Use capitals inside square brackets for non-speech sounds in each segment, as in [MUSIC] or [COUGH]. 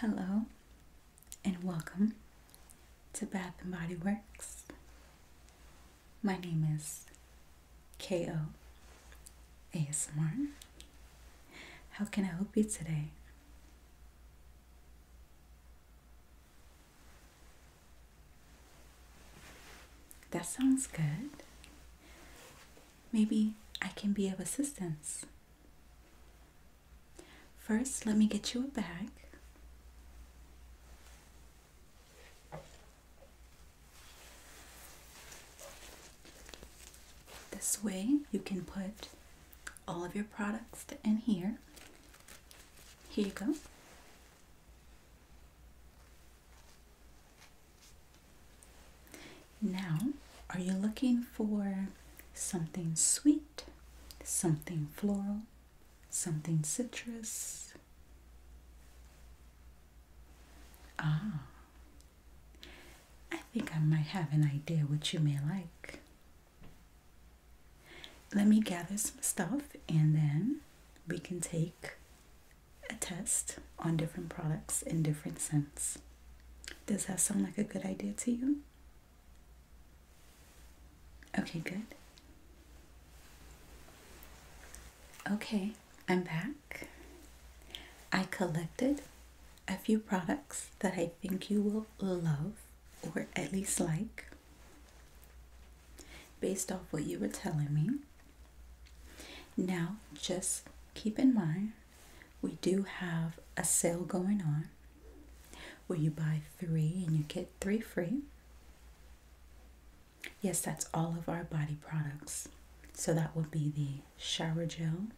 Hello and welcome to Bath and Body Works. My name is KO ASMR. How can I help you today? That sounds good. Maybe I can be of assistance. First, let me get you a bag. This way, you can put all of your products in here. Here you go. Now, are you looking for something sweet, something floral, something citrus? Ah, I think I might have an idea what you may like. Let me gather some stuff and then we can take a test on different products in different scents. Does that sound like a good idea to you? Okay, good. Okay, I'm back. I collected a few products that I think you will love or at least like based off what you were telling me. Now, just keep in mind we do have a sale going on where you buy three and you get three free. Yes, that's all of our body products. So that would be the shower gel,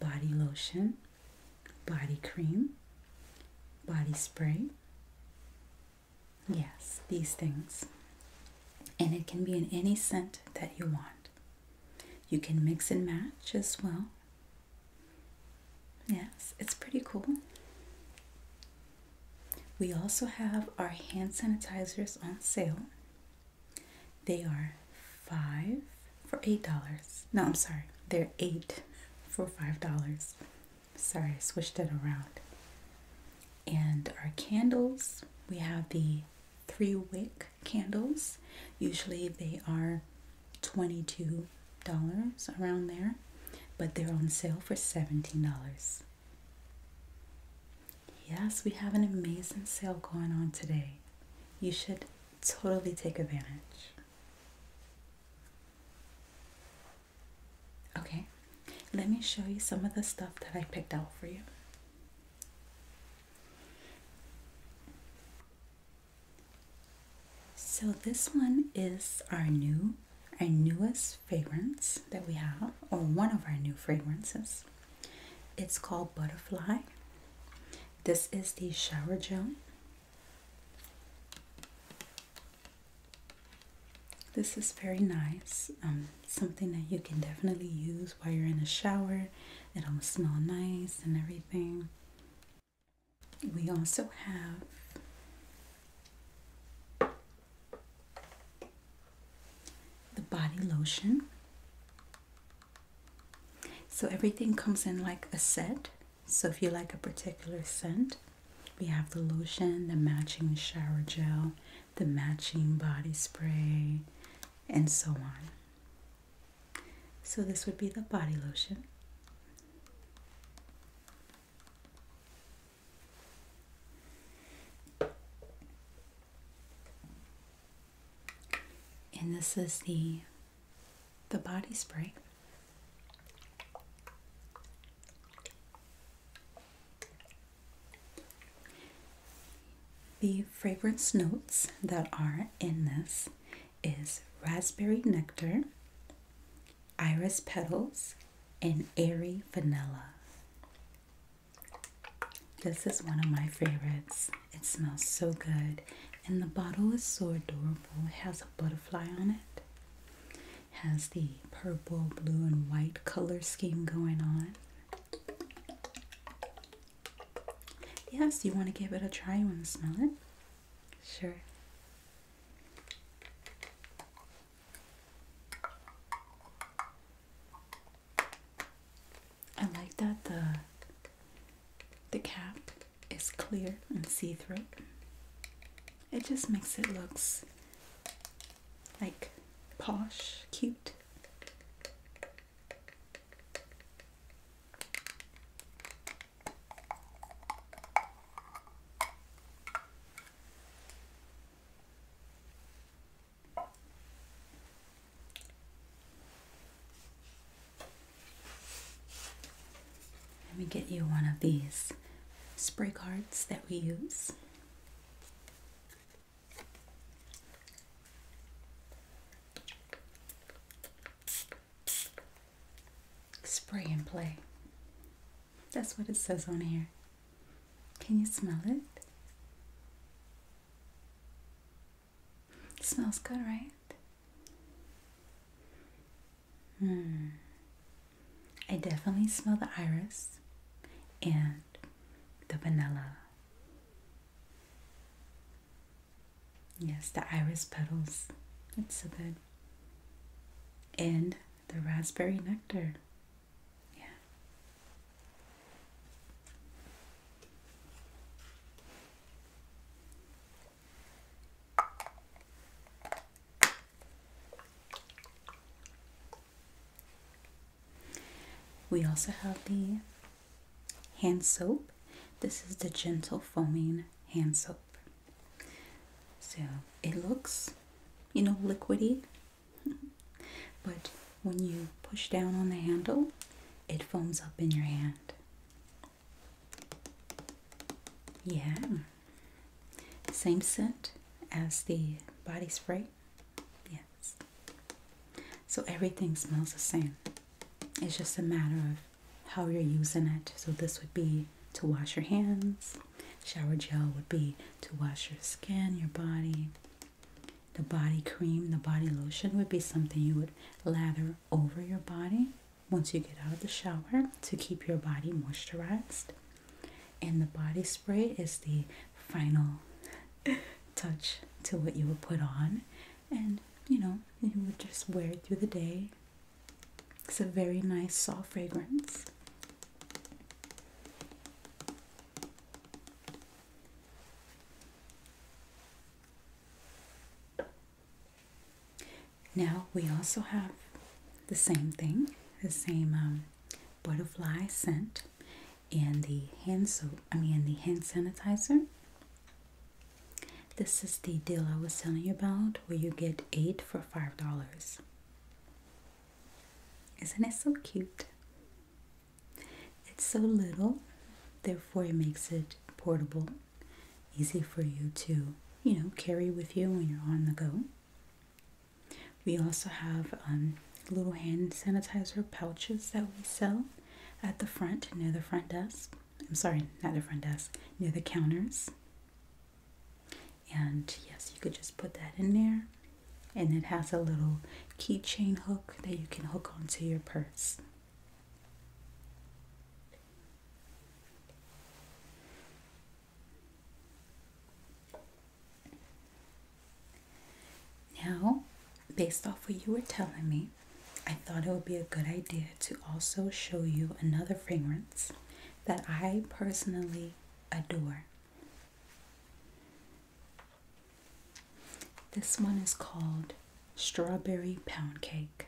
body lotion, body cream, body spray. Yes, these things. And it can be in any scent that you want. You can mix and match as well. Yes, it's pretty cool. We also have our hand sanitizers on sale. They are five for eight dollars. No, I'm sorry, they're eight for five dollars. Sorry, I switched it around. And our candles, we have the three wick candles. Usually they are $22 around there, but they're on sale for $17. Yes, we have an amazing sale going on today. You should totally take advantage. Okay, let me show you some of the stuff that I picked out for you. So this one is our new, our newest fragrance that we have, or one of our new fragrances. It's called Butterfly. This is the shower gel. This is very nice. Um, something that you can definitely use while you're in a shower. It'll smell nice and everything. We also have the body lotion. So everything comes in like a set. So if you like a particular scent, we have the lotion, the matching shower gel, the matching body spray, and so on. So, this would be the body lotion. And this is the the body spray. The fragrance notes that are in this is raspberry nectar, iris petals, and airy vanilla. This is one of my favorites. It smells so good, and the bottle is so adorable. It has a butterfly on it. it has the purple, blue, and white color scheme going on. Yes, you want to give it a try. You want to smell it? Sure. I like that the the cap is clear and see-through. It just makes it looks like posh, cute. Let me get you one of these spray cards that we use. Spray and play. That's what it says on here. Can you smell it? smells good, right? Hmm. I definitely smell the iris and the vanilla. Yes, the iris petals. It's so good. And the raspberry nectar. Yeah. We also have the hand soap. This is the gentle foaming hand soap. So it looks, you know, liquidy, [LAUGHS] but when you push down on the handle, it foams up in your hand. Yeah. Same scent as the body spray. Yeah. So everything smells the same. It's just a matter of how you're using it. So this would be to wash your hands. Shower gel would be to wash your skin, your body. The body cream, the body lotion would be something you would lather over your body once you get out of the shower to keep your body moisturized. And the body spray is the final [LAUGHS] touch to what you would put on, and you know, you would just wear it through the day. It's a very nice, soft fragrance. Now we also have the same thing, the same um, butterfly scent, and the hand so I mean the hand sanitizer. This is the deal I was telling you about where you get eight for five dollars. Isn't it so cute? It's so little, therefore it makes it portable, easy for you to, you know, carry with you when you're on the go. We also have um, little hand sanitizer pouches that we sell at the front, near the front desk. I'm sorry, not the front desk, near the counters. And yes, you could just put that in there. And it has a little keychain hook that you can hook onto your purse. Now, based off what you were telling me, I thought it would be a good idea to also show you another fragrance that I personally adore. This one is called Strawberry Pound Cake.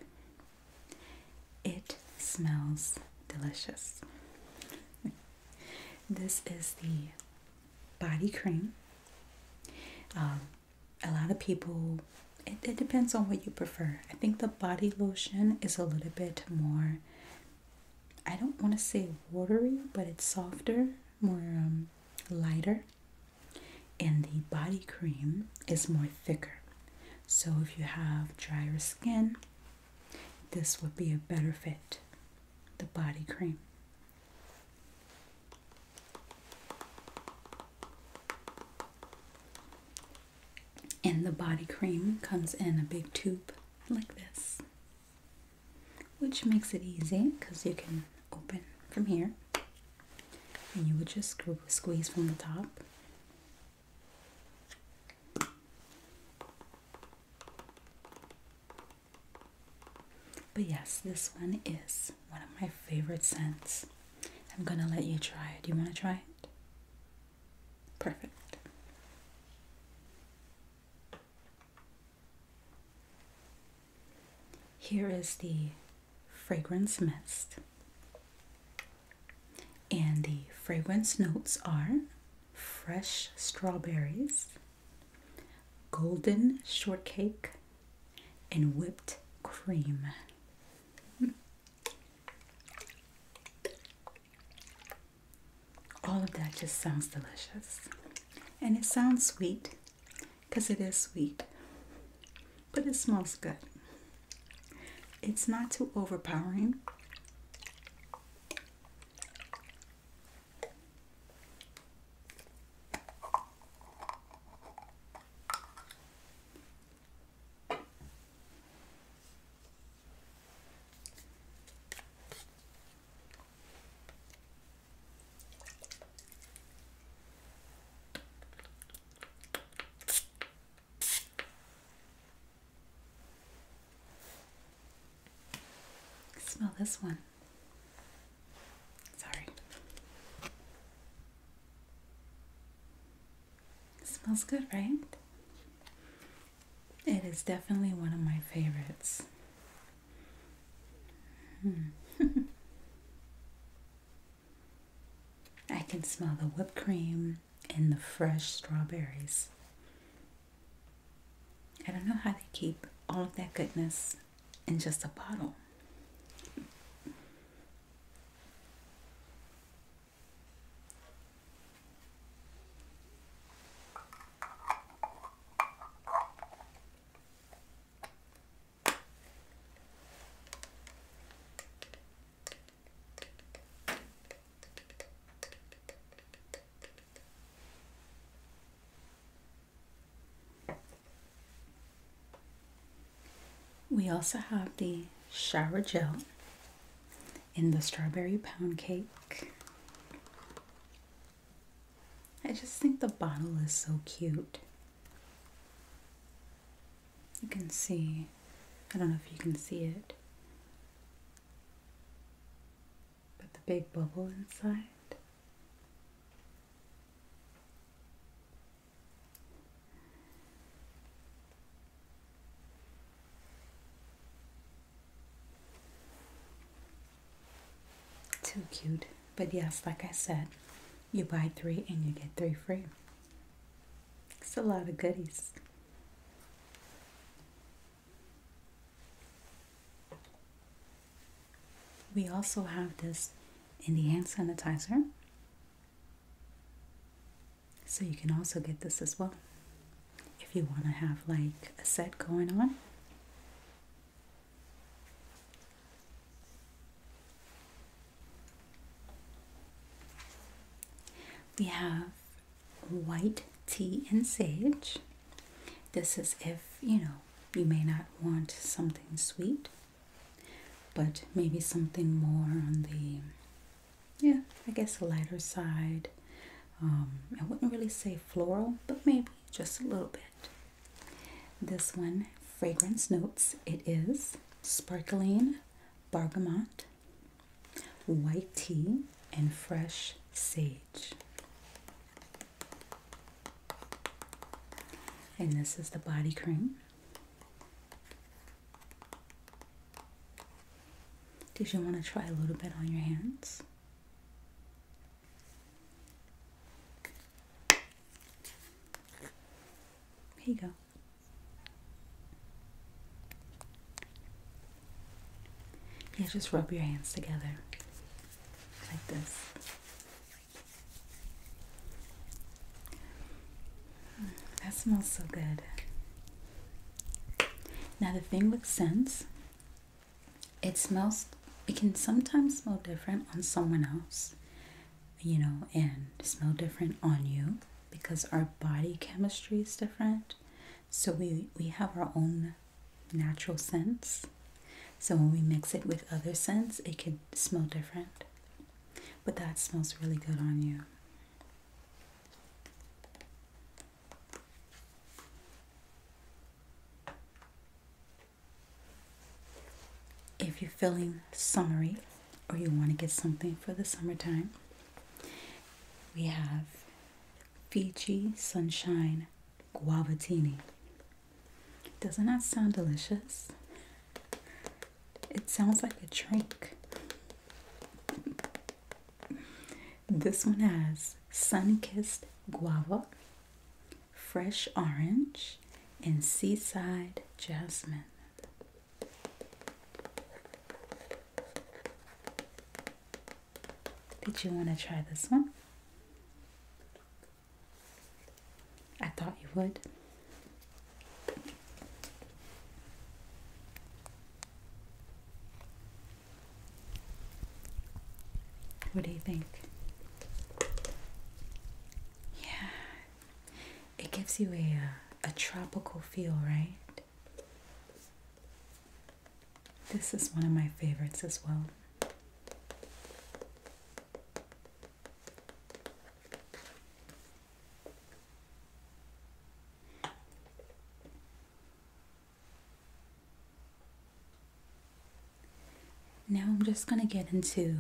It smells delicious. [LAUGHS] this is the body cream. Um, a lot of people, it, it depends on what you prefer. I think the body lotion is a little bit more, I don't want to say watery, but it's softer, more um, lighter. And the body cream is more thicker. So if you have drier skin, this would be a better fit. The body cream. And the body cream comes in a big tube like this, which makes it easy because you can open from here and you would just squeeze from the top. But yes, this one is one of my favorite scents. I'm gonna let you try it. Do you wanna try it? Perfect. Here is the fragrance mist. And the fragrance notes are fresh strawberries, golden shortcake and whipped cream. All of that just sounds delicious. And it sounds sweet because it is sweet, but it smells good. It's not too overpowering. Smell this one. Sorry. smells good, right? It is definitely one of my favorites. Hmm. [LAUGHS] I can smell the whipped cream and the fresh strawberries. I don't know how they keep all of that goodness in just a bottle. We also have the shower gel in the strawberry pound cake. I just think the bottle is so cute. You can see, I don't know if you can see it. Put the big bubble inside. Too cute. But yes, like I said, you buy three and you get three free. It's a lot of goodies. We also have this in the hand sanitizer. So you can also get this as well if you want to have like a set going on. We have white tea and sage. This is if, you know, you may not want something sweet, but maybe something more on the, yeah, I guess lighter side. Um, I wouldn't really say floral, but maybe just a little bit. This one, fragrance notes, it is sparkling bergamot, white tea, and fresh sea. And this is the body cream. Did you want to try a little bit on your hands? Here you go. Yeah, just rub your hands together like this. Mm, that smells so good. Now the thing with scents, it smells it can sometimes smell different on someone else, you know, and smell different on you because our body chemistry is different. So we we have our own natural scents. So when we mix it with other scents, it could smell different. But that smells really good on you. If you're feeling summery or you want to get something for the summertime, we have Fiji Sunshine Guavatini. Doesn't that sound delicious? It sounds like a drink. This one has sun kissed guava, fresh orange, and seaside jasmine. Did you want to try this one? I thought you would. What do you think? Yeah, it gives you a, a, uh, a tropical feel, right? This is one of my favorites as well. Now I'm just going to get into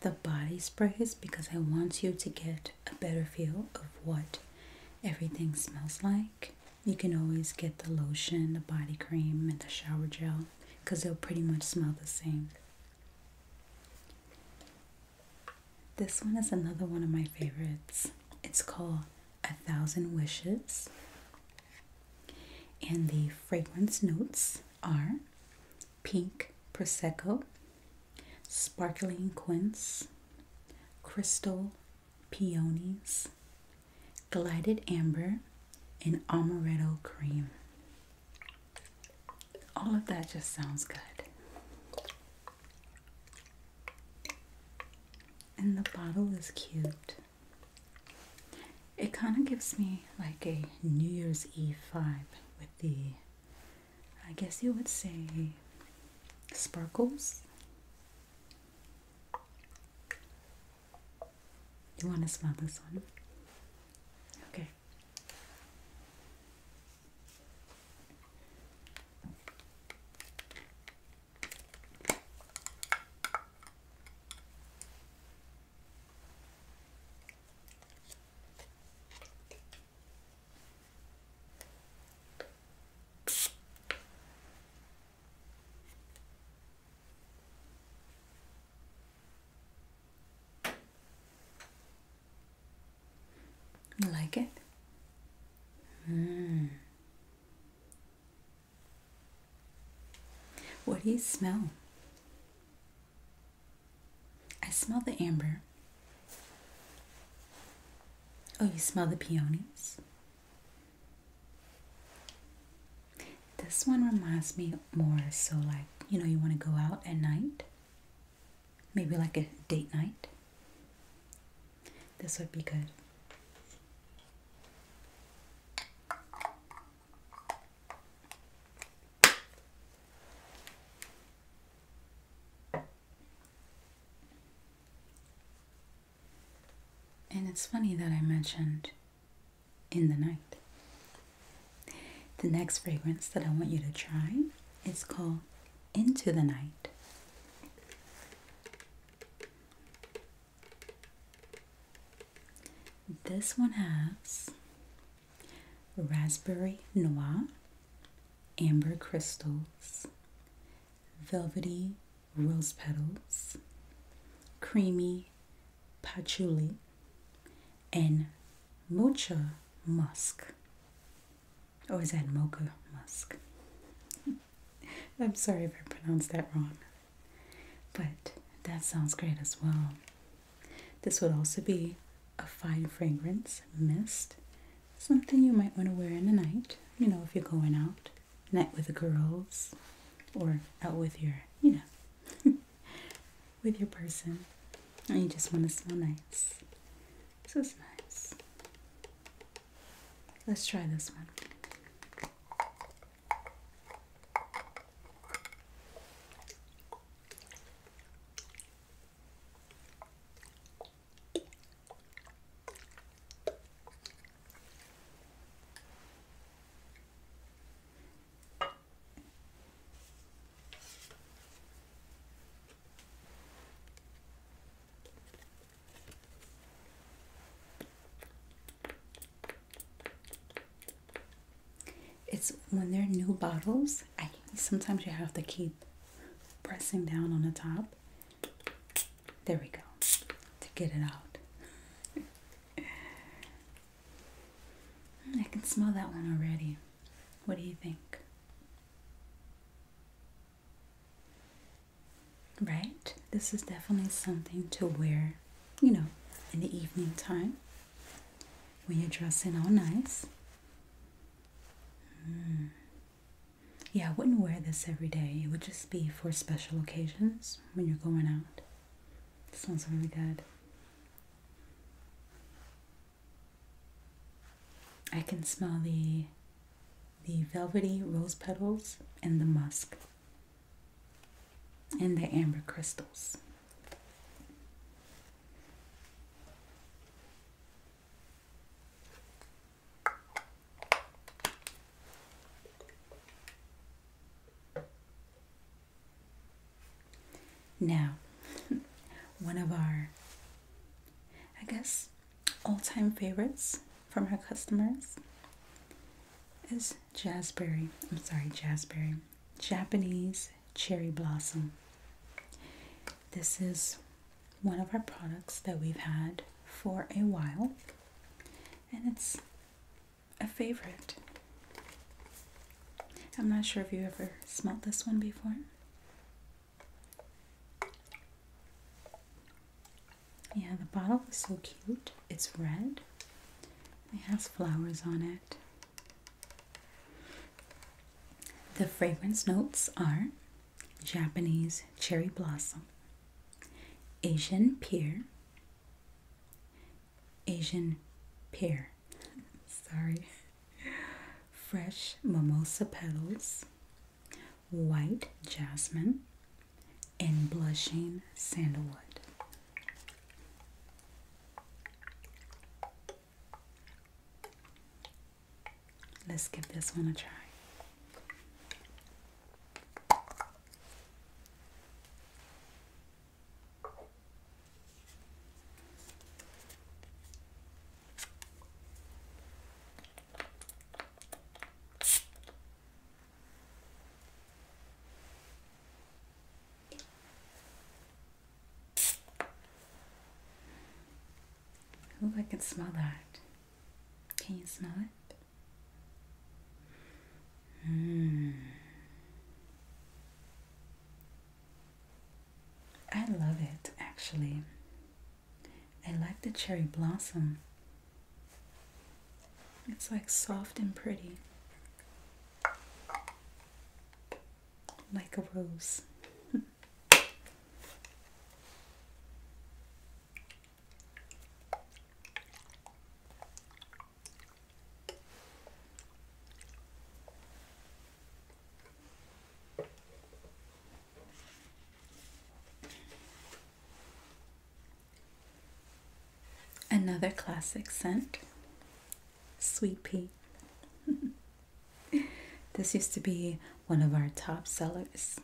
the body sprays because I want you to get a better feel of what everything smells like. You can always get the lotion, the body cream, and the shower gel because they'll pretty much smell the same. This one is another one of my favorites. It's called A Thousand Wishes. And the fragrance notes are pink prosecco, sparkling quince, crystal peonies, glided amber, and amaretto cream. All of that just sounds good. And the bottle is cute. It kind of gives me like a New Year's Eve vibe with the, I guess you would say, sparkles. You want to smell this one? Okay. Like it? Mm. What do you smell? I smell the amber. Oh, you smell the peonies? This one reminds me more so like, you know, you want to go out at night. Maybe like a date night. This would be good. And it's funny that I mentioned in the night. The next fragrance that I want you to try is called Into the Night. This one has raspberry noir, amber crystals, velvety rose petals, creamy patchouli, and mocha musk. Or is that mocha musk? [LAUGHS] I'm sorry if I pronounced that wrong. But that sounds great as well. This would also be a fine fragrance mist, something you might want to wear in the night, you know, if you're going out night with the girls or out with your, you know, [LAUGHS] with your person. And you just want to smell nice. So it's nice. Let's try this one. It's when they're new bottles, I sometimes you have to keep pressing down on the top. There we go to get it out. [LAUGHS] I can smell that one already. What do you think? Right? This is definitely something to wear, you know, in the evening time when you're dressing all nice. Hmm. Yeah, I wouldn't wear this every day. It would just be for special occasions when you're going out. Smells really good. I can smell the the velvety rose petals and the musk and the amber crystals. Now, [LAUGHS] one of our, I guess, all time favorites from our customers is Jazberry. I'm sorry, Jazberry, Japanese cherry blossom. This is one of our products that we've had for a while, and it's a favorite. I'm not sure if you ever smelled this one before. Yeah, the bottle is so cute. It's red. It has flowers on it. The fragrance notes are Japanese cherry blossom, Asian pear, Asian pear. Sorry. Fresh mimosa petals, white jasmine, and blushing sandalwood. Let's give this one a try. Ooh, I can smell that. Can you smell it? Mm. I love it actually. I like the cherry blossom. It's like soft and pretty. Like a rose. [LAUGHS] Another classic scent, sweet pea. [LAUGHS] this used to be one of our top sellers.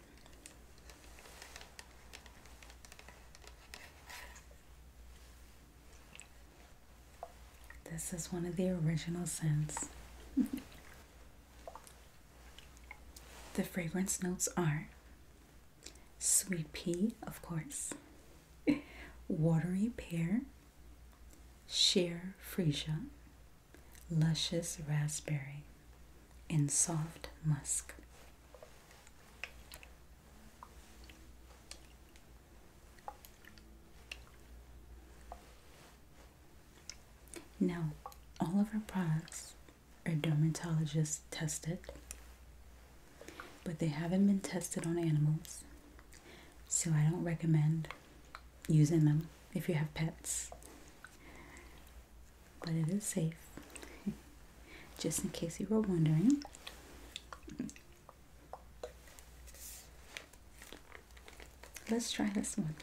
This is one of the original scents. the fragrance notes are sweet pea, of course, watery pear, sheer freesia, luscious raspberry, and soft musk. Now, all of our products are dermatologists tested, but they haven't been tested on animals, so I don't recommend using them if you have pets. But it is safe. [LAUGHS] just in case you were wondering. Let's try this one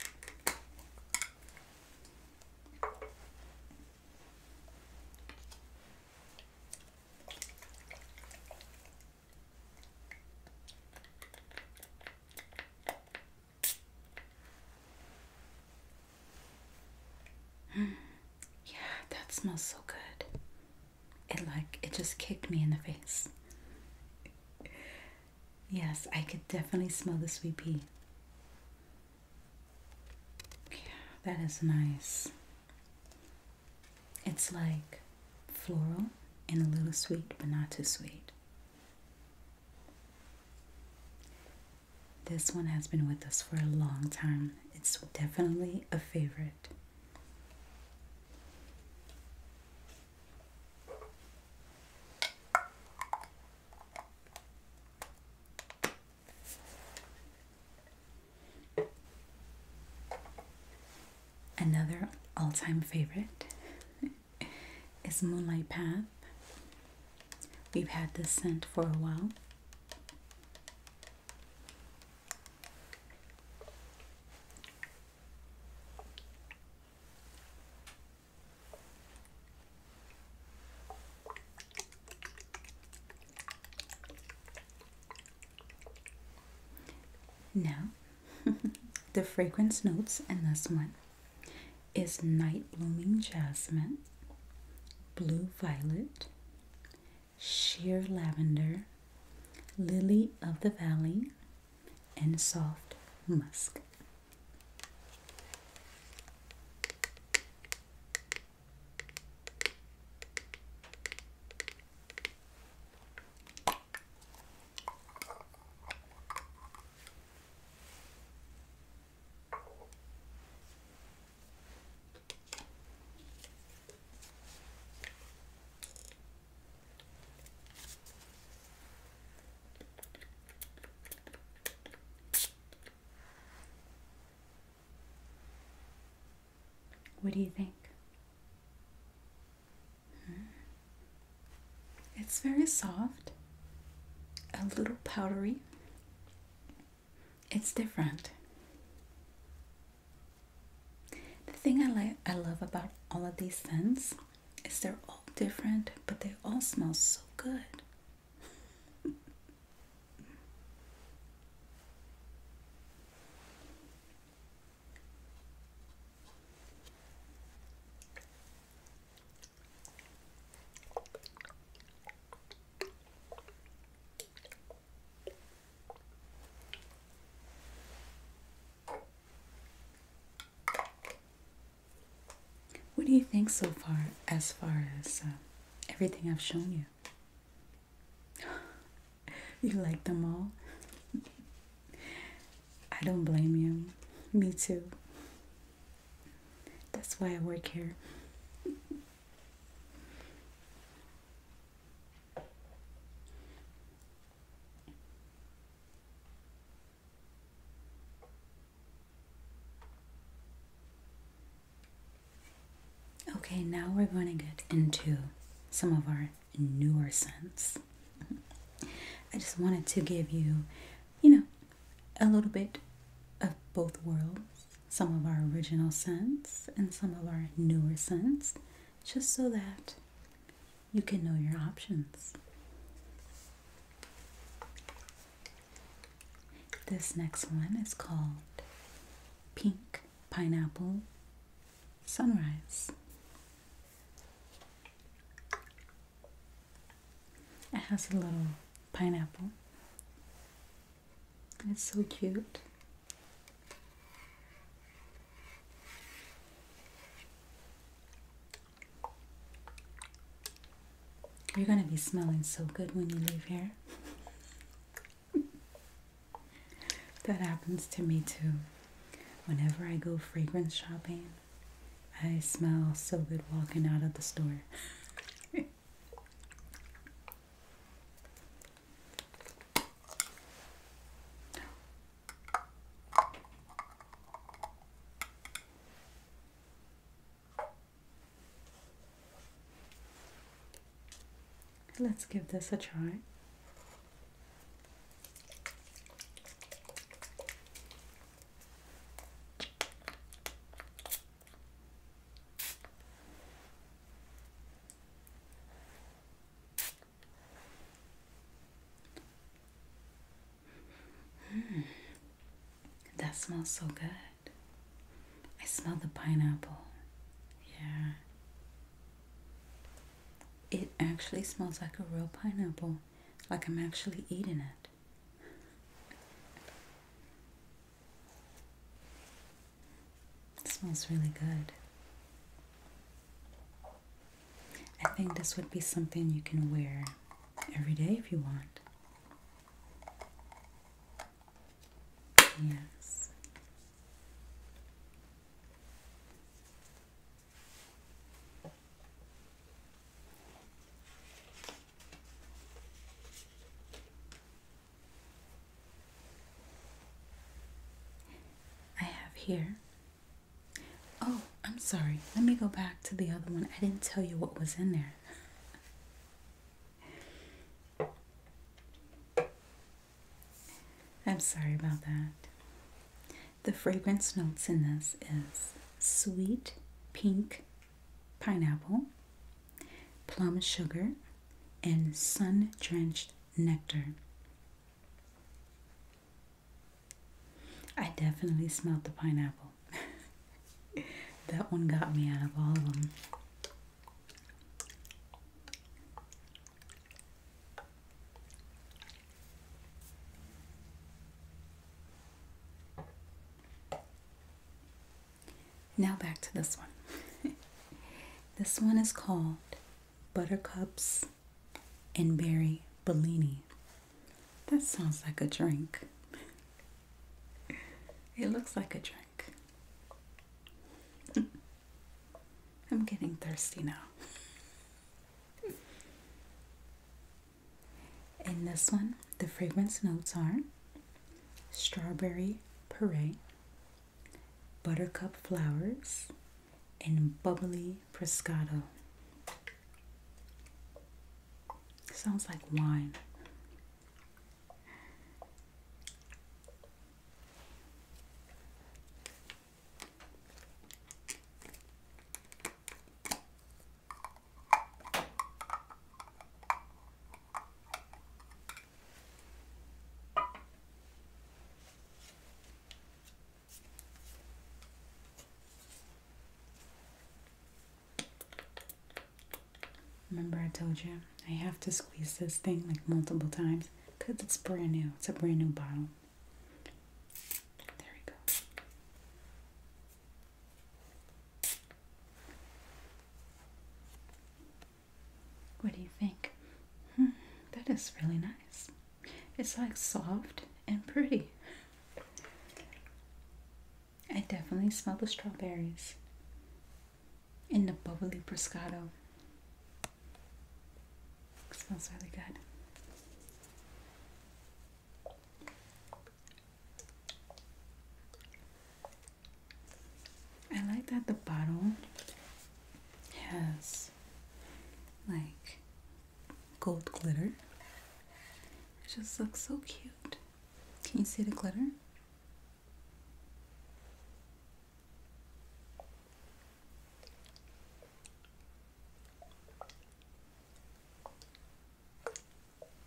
yeah, that smells so good. It like it just kicked me in the face. Yes, I could definitely smell the sweet pea. Yeah, that is nice. It's like floral and a little sweet, but not too sweet. This one has been with us for a long time. It's definitely a favorite. Another all time favorite [LAUGHS] is Moonlight Path. We've had this scent for a while. Now, [LAUGHS] the fragrance notes in this one is night blooming jasmine, blue violet, sheer lavender, lily of the valley, and soft musk. What do you think? Hmm? It's very soft, a little powdery, it's different. The thing I like I love about all of these scents is they're all different, but they all smell so good. What do you think so far, as far as uh, everything I've shown you? [LAUGHS] you like them all? [LAUGHS] I don't blame you. Me too. That's why I work here. Okay, now we're going to get into some of our newer scents. [LAUGHS] I just wanted to give you, you know, a little bit of both worlds some of our original scents and some of our newer scents, just so that you can know your options. This next one is called Pink Pineapple Sunrise. It has a little pineapple and it's so cute. You're gonna be smelling so good when you leave here. [LAUGHS] that happens to me too. Whenever I go fragrance shopping, I smell so good walking out of the store. [LAUGHS] Let's give this a try. Hmm. that smells so good. I smell the pineapple. Yeah. It actually smells like a real pineapple, like I'm actually eating it smells really good. I think this would be something you can wear every day if you want. Yes. I have here. Oh, I'm sorry. Let me go back to the other one. I didn't tell you what was in there. [LAUGHS] I'm sorry about that. The fragrance notes in this is sweet pink pineapple, plum sugar, and sun drenched nectar. I definitely smelled the pineapple. [LAUGHS] that one got me out of all of them. Now back to this one. [LAUGHS] this one is called Buttercups and Berry Bellini. That sounds like a drink. It looks like a drink. [LAUGHS] I'm getting thirsty now. In [LAUGHS] this one, the fragrance notes are strawberry puree, buttercup flowers, and bubbly Prescato. Sounds like wine. Remember I told you I have to squeeze this thing like multiple times because it's brand new. It's a brand new bottle. There we go. What do you think? Hmm, that is really nice. It's like soft and pretty. I definitely smell the strawberries in the bubbly Prosciutto. smells really good. I like that the bottle has like gold glitter. It just looks so cute. Can you see the glitter?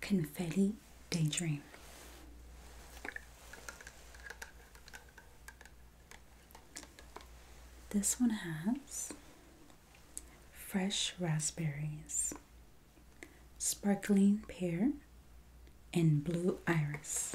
Confetti Daydream. This one has fresh raspberries, sparkling pear, and blue iris.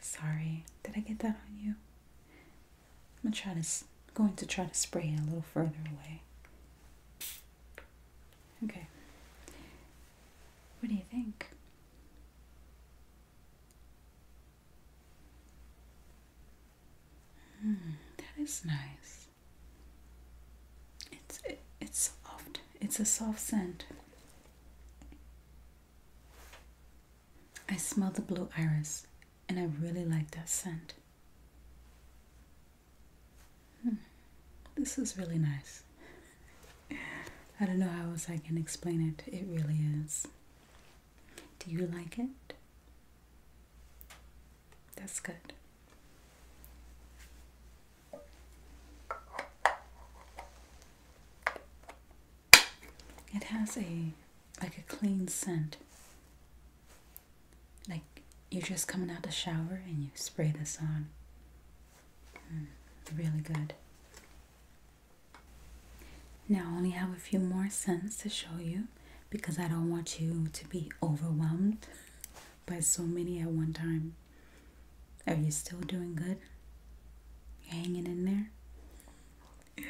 Sorry, did I get that on you? I'm gonna try to, going to try to spray it a little further away. Okay. What do you think? Hmm, that is nice. It's it, it's soft. It's a soft scent. I smell the blue iris and I really like that scent. Hmm, this is really nice. I don't know how else I can explain it. It really is. Do you like it? That's good. It has a like a clean scent. Like you're just coming out the shower and you spray this on. Hmm, really good. Now I only have a few more scents to show you because I don't want you to be overwhelmed [LAUGHS] by so many at one time. Are you still doing good? You're hanging in there?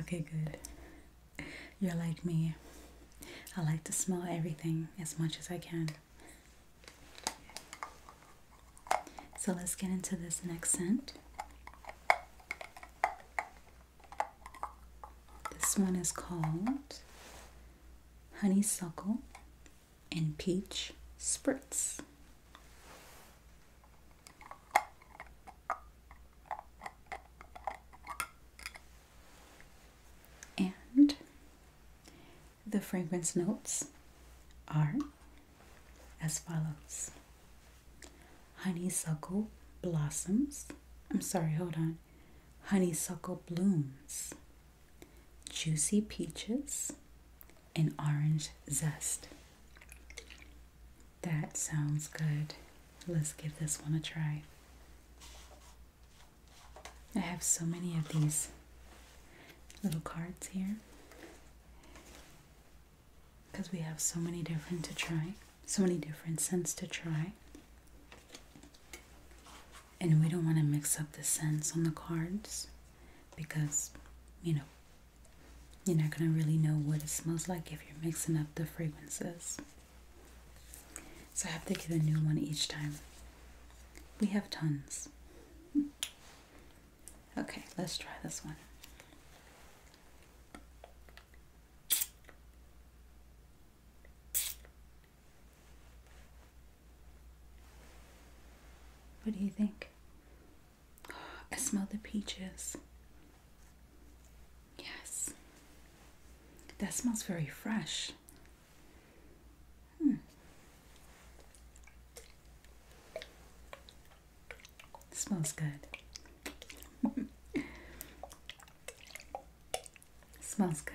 Okay, good. You're like me. I like to smell everything as much as I can. So let's get into this next scent. This one is called Honeysuckle and peach spritz. And the fragrance notes are as follows honeysuckle blossoms. I'm sorry, hold on. Honeysuckle blooms, juicy peaches, and orange zest. That sounds good. Let's give this one a try. I have so many of these little cards here because we have so many different to try, so many different scents to try. And we don't want to mix up the scents on the cards because you know you're not going to really know what it smells like if you're mixing up the fragrances. So I have to get a new one each time. We have tons. [LAUGHS] Okay, let's try this one. What do you think? I smell the peaches. Yes. That smells very fresh. Hmm. Smells good. [LAUGHS] smells good.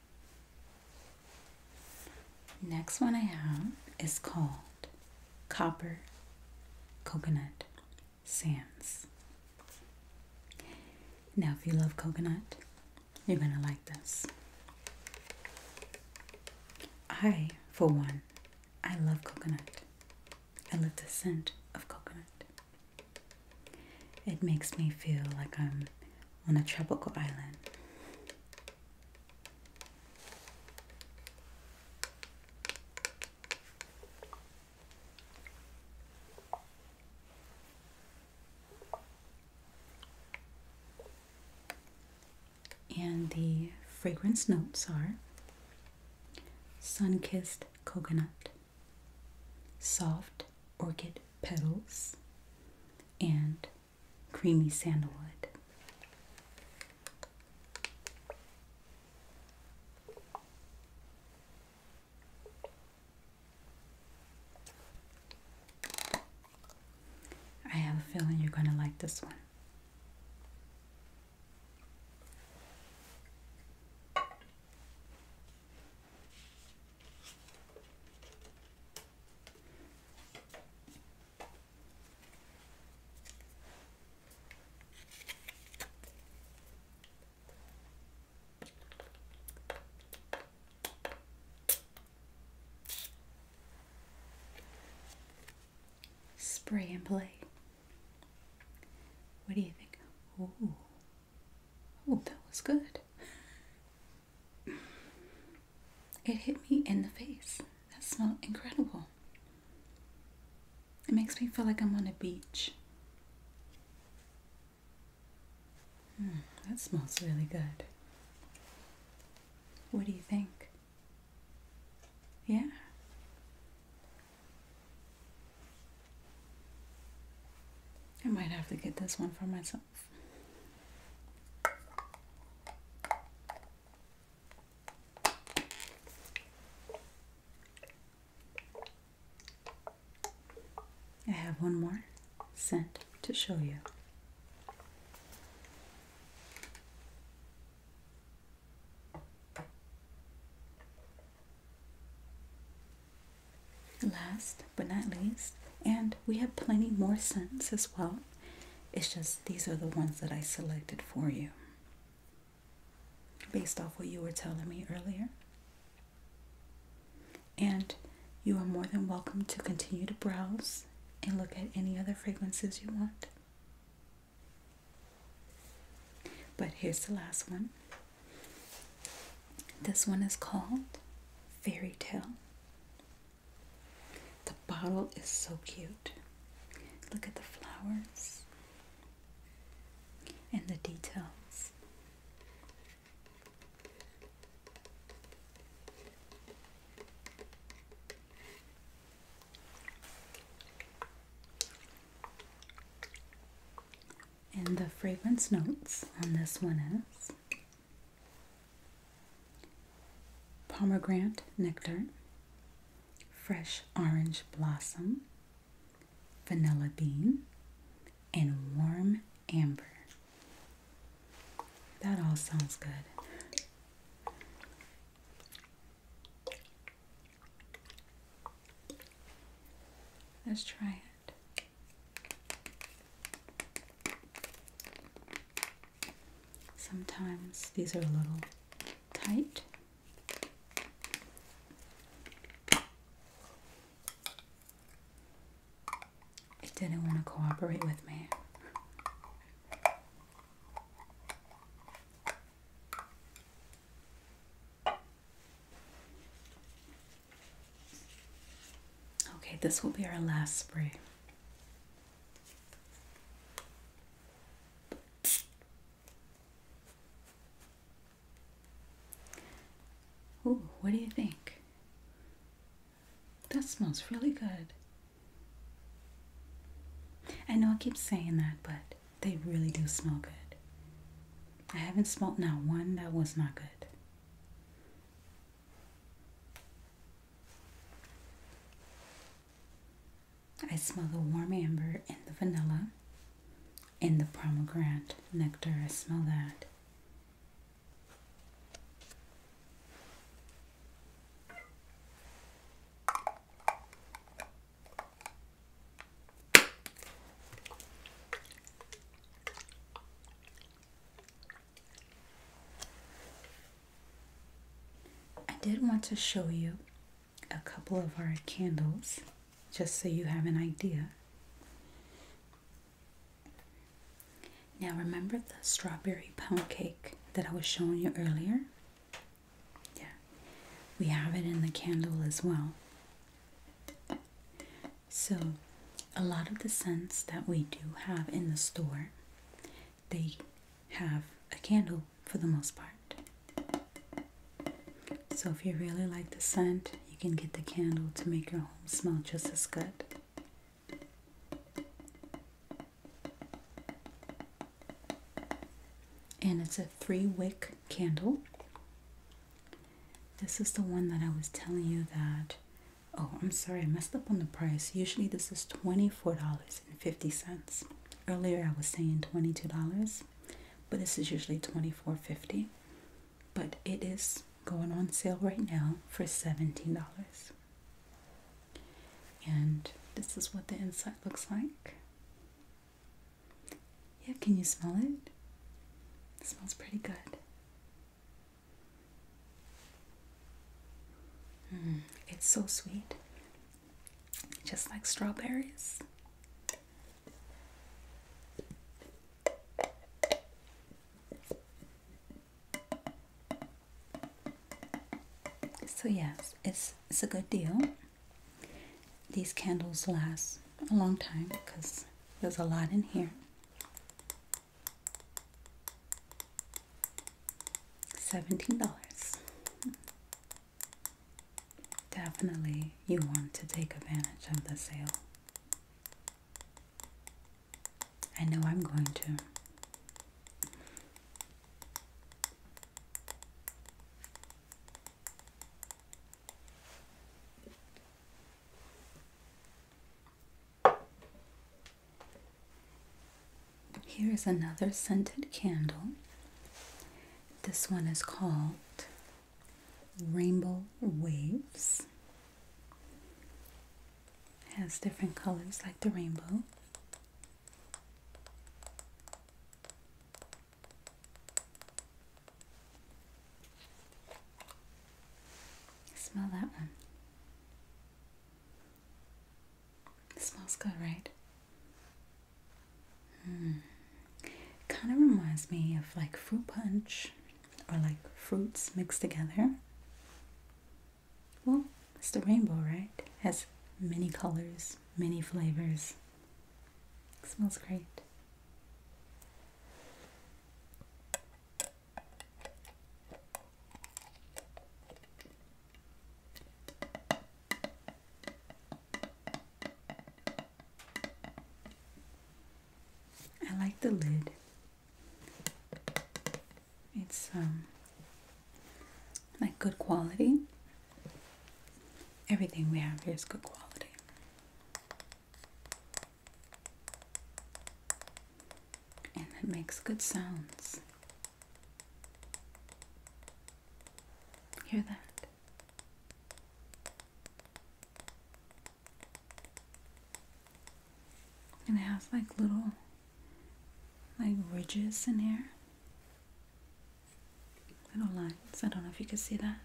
Next one I have is called Copper Coconut Sands. Now, if you love coconut, you're going to like this. I, for one, I love coconut. I love the scent of coconut. It makes me feel like I'm on a tropical island. And the fragrance notes are sun kissed coconut, soft orchid petals and creamy sandalwood. I have a feeling you're going to like this one. Spray and play. What do you think? Ooh. Oh, that was good. [LAUGHS] It hit me in the face. That smells incredible. It makes me feel like I'm on a beach. Hmm, that smells really good. What do you think? Yeah? I might have to get this one for myself. I have one more scent to show you. Last but not least, and we have plenty more scents as well. It's just these are the ones that I selected for you based off what you were telling me earlier. And you are more than welcome to continue to browse and look at any other fragrances you want. But here's the last one. This one is called Fairy Tale. The bottle is so cute. Look at the flowers and the details. And the fragrance notes on this one is pomegranate nectar, fresh orange blossom, vanilla bean, and warm amber. That all sounds good. Let's try it. Sometimes these are a little tight. It didn't want to cooperate with me. Okay, this will be our last spray. Ooh, what do you think? That smells really good. I know I keep saying that, but they really do smell good. I haven't smelled not one that was not good. I smell the warm amber and the vanilla, and the pomegranate nectar. I smell that. I did want to show you a couple of our candles just so you have an idea. Now, remember the strawberry pound cake that I was showing you earlier? Yeah, we have it in the candle as well. So, a lot of the scents that we do have in the store, they have a candle for the most part. So, if you really like the scent, you can get the candle to make your home smell just as good. And it's a three wick candle. This is the one that I was telling you that. Oh, I'm sorry, I messed up on the price. Usually this is $24.50. Earlier I was saying $22, but this is usually $24.50. But it is going on sale right now for $17. And this is what the inside looks like. Yeah, can you smell it? It smells pretty good. Mm, it's so sweet, just like strawberries. So yes, it's it's a good deal. These candles last a long time because there's a lot in here. $17. Definitely, you want to take advantage of the sale. I know I'm going to. Here is another scented candle. This one is called Rainbow Waves. has different colors like the rainbow. Smell that one. It smells good, right? Hmm. Kind of reminds me of like fruit punch or like fruits mixed together. Well, it's the rainbow, right? has many colors, many flavors. smells great. I like the lid. It's um like good quality. Everything we have here is good quality and it makes good sounds. Hear that? And it has like little like ridges in here. Little lines. I don't know if you can see that.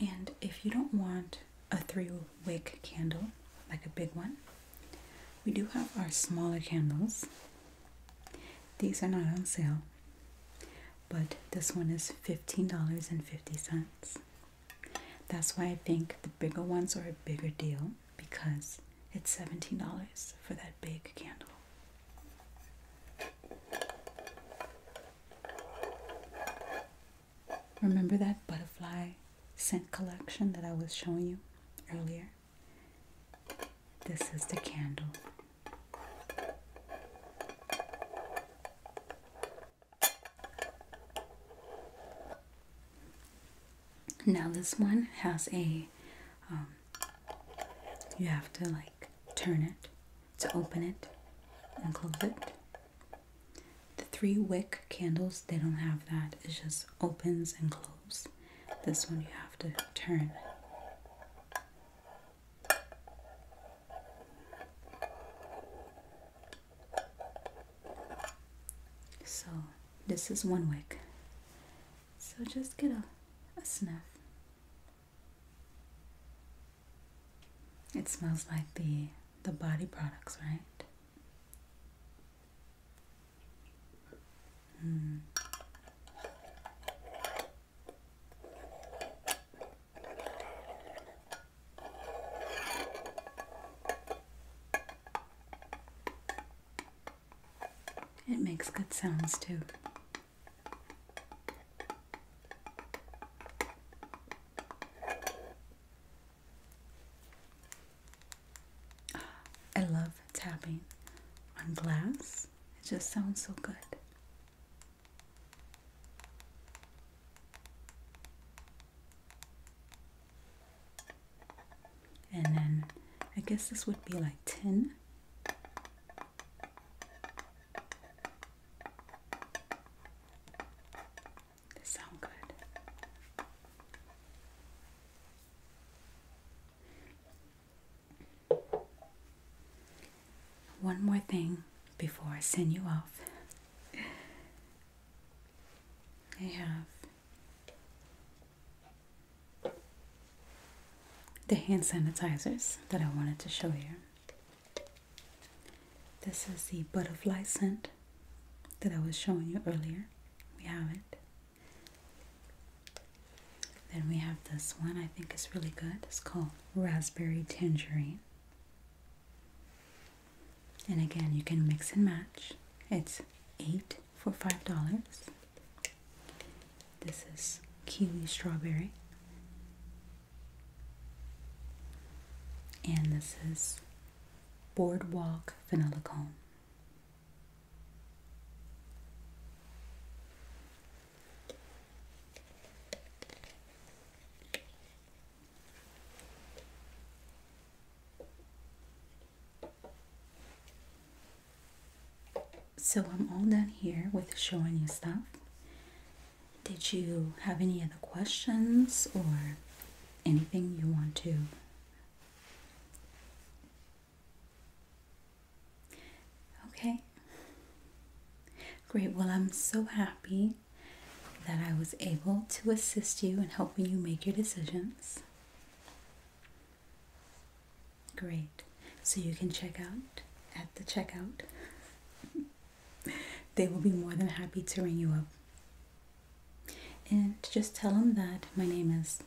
And if you don't want a three wick candle, like a big one, we do have our smaller candles. These are not on sale, but this one is $15.50. That's why I think the bigger ones are a bigger deal because it's $17 for that big candle. Remember that butterfly scent collection that I was showing you earlier? This is the candle now this one has a, um, you have to like turn it to open it and close it. The three wick candles, they don't have that. It just opens and closes. This one you have to turn. So, this is one wig. So, just get a, a sniff. It smells like the the body products, right? Mm. It makes good sounds too. I love tapping on glass. It just sounds so good. And then I guess this would be like 10. This sound good. One more thing before I send you off. I have the hand sanitizers that I wanted to show you. This is the butterfly scent that I was showing you earlier. We have it. Then we have this one I think is really good. It's called raspberry tangerine. And again, you can mix and match. It's eight for five dollars. This is kiwi strawberry, and this is boardwalk vanilla cone. So I'm all done here with showing you stuff. Did you have any other questions or anything you want to? Okay, Great. Well, I'm so happy that I was able to assist you in helping you make your decisions. Great. So you can check out at the checkout. [LAUGHS] they will be more than happy to ring you up. And just tell them that my name is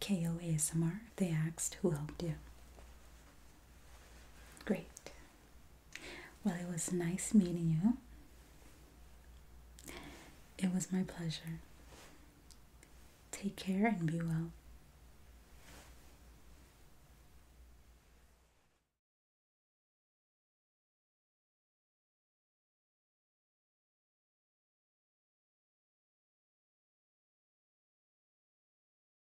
KOASMR. They asked who helped you. Great. Well, it was nice meeting you. It was my pleasure. Take care and be well.